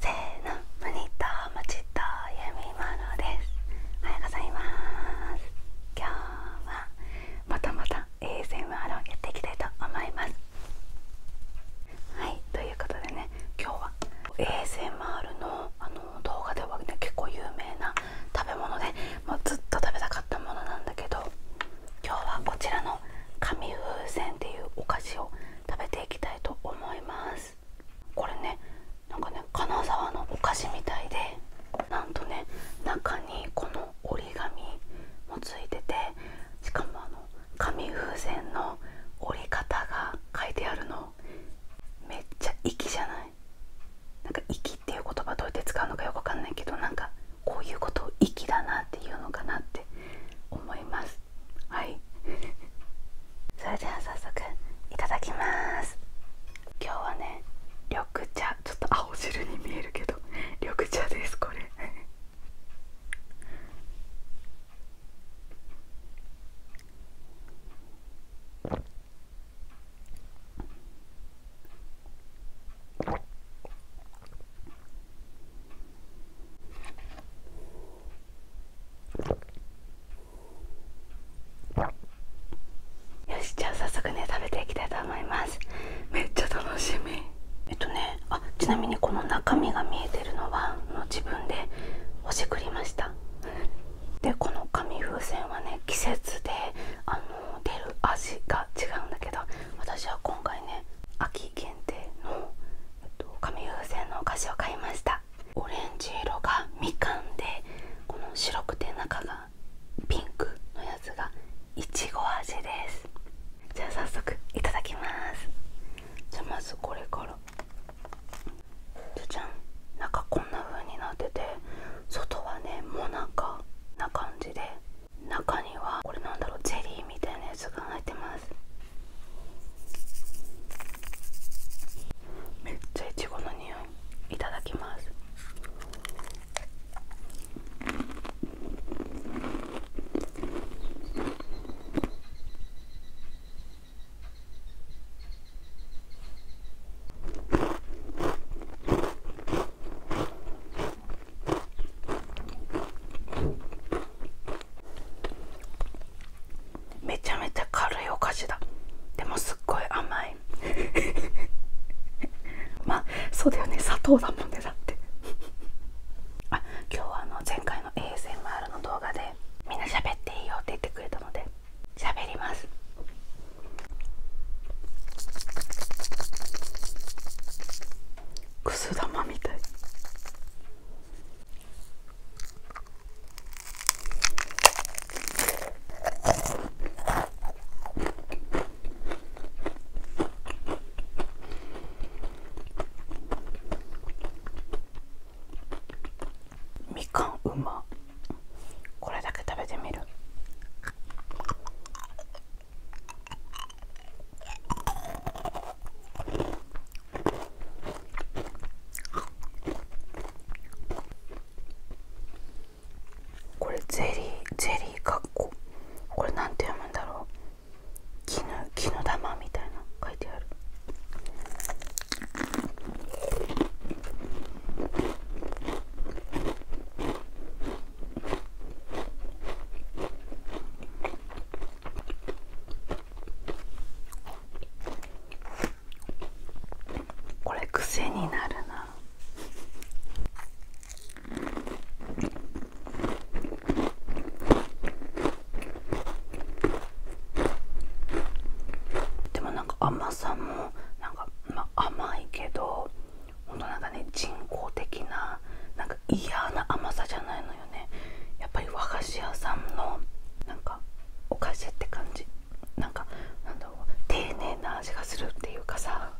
せーのモニターもちと読み物ですおはようございます今日はまたまた ASMR をやっていきたいと思いますはいということでね今日は ASMR のあの動画では、結構有名な食べ物でもずっと食べたかったものなんだけど今日はこちらの紙風船っていうお菓子を食べていきたいと思いますこれねなんかね金沢のお菓子みたいでなんとね中にこの折り紙もついててしかもあの紙風船の折り方が書いてあるのめっちゃ粋じゃないなんか「息」っていう言葉どうやって使うのかよくわかんないけどなんかこういうことを「息」だなっていうのかなって思いますはい それでは早速いただきます今日はね緑茶ちょっと青汁に見えるけど 緑茶ですこれ よしじゃあ早速ね食べていきたいと思いますめっちゃ楽しみえっとねあちなみにこの中身が見えてるのはの自分でほしくりましたでこの紙風船はね季節であの出る味が違うんだけど私は今回ね秋限定の、紙風船のお菓子を買いましたオレンジ色がみかんでこの白くて中がピンクのやつがいちご味ですじゃあ早速いただきますじゃあまずこれからじゃじゃん中こんな風になってて外はねもなか中中にはこれなんだろうゼリーみたいなやつが入ってますめっちゃいチゴの匂いいただきますめちゃめちゃ軽いお菓子だでもすっごい甘い まあそうだよね砂糖だもんねだってあ今日はあの前回の ASMR の動画でみんな喋っていいよって言ってくれたので喋りますくす玉みたいみかんうま。これだけ食べてみるこれゼリーゼリーかっここれなんて読むんだろう絹絹玉みたいな書いてあるこれ癖になるな。でもなんか甘さもなんかま甘いけどほんとなんかね人工的ななんか嫌な甘さじゃないのよねやっぱり和菓子屋さんのなんかお菓子って感じなんかなんだろう丁寧な味がするっていうかさ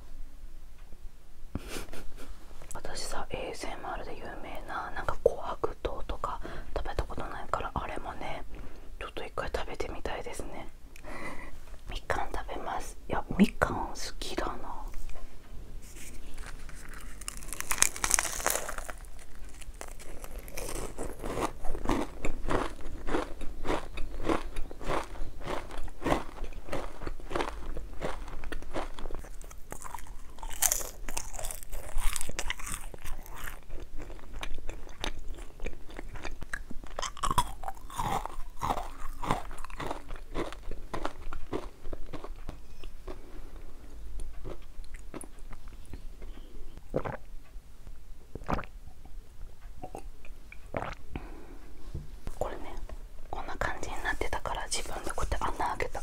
私さ ASMR で有名ななんか琥珀糖とか食べたことないからあれもねちょっと一回食べてみたいですねみかん食べますいやみかん好きだなこれねこんな感じになってたから自分でこうやって穴開けた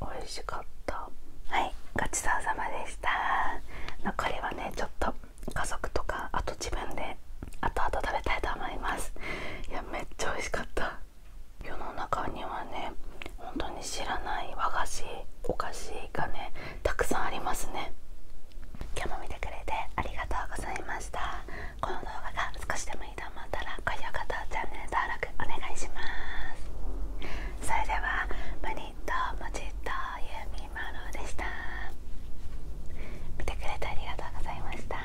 美味しかったはいごちそうさまでした残りはねちょっと家族とかあと自分で後々食べたいと思いますいやめっちゃ美味しかった世の中にはね本当に知らない和菓子お菓子がねたくさんありますね今日も見てくれてありがとうございましたこの動画が少しでもいいと思ったら高評価とチャンネル登録お願いしますそれではマニットモチッとユーミンマでした見てくれてありがとうございました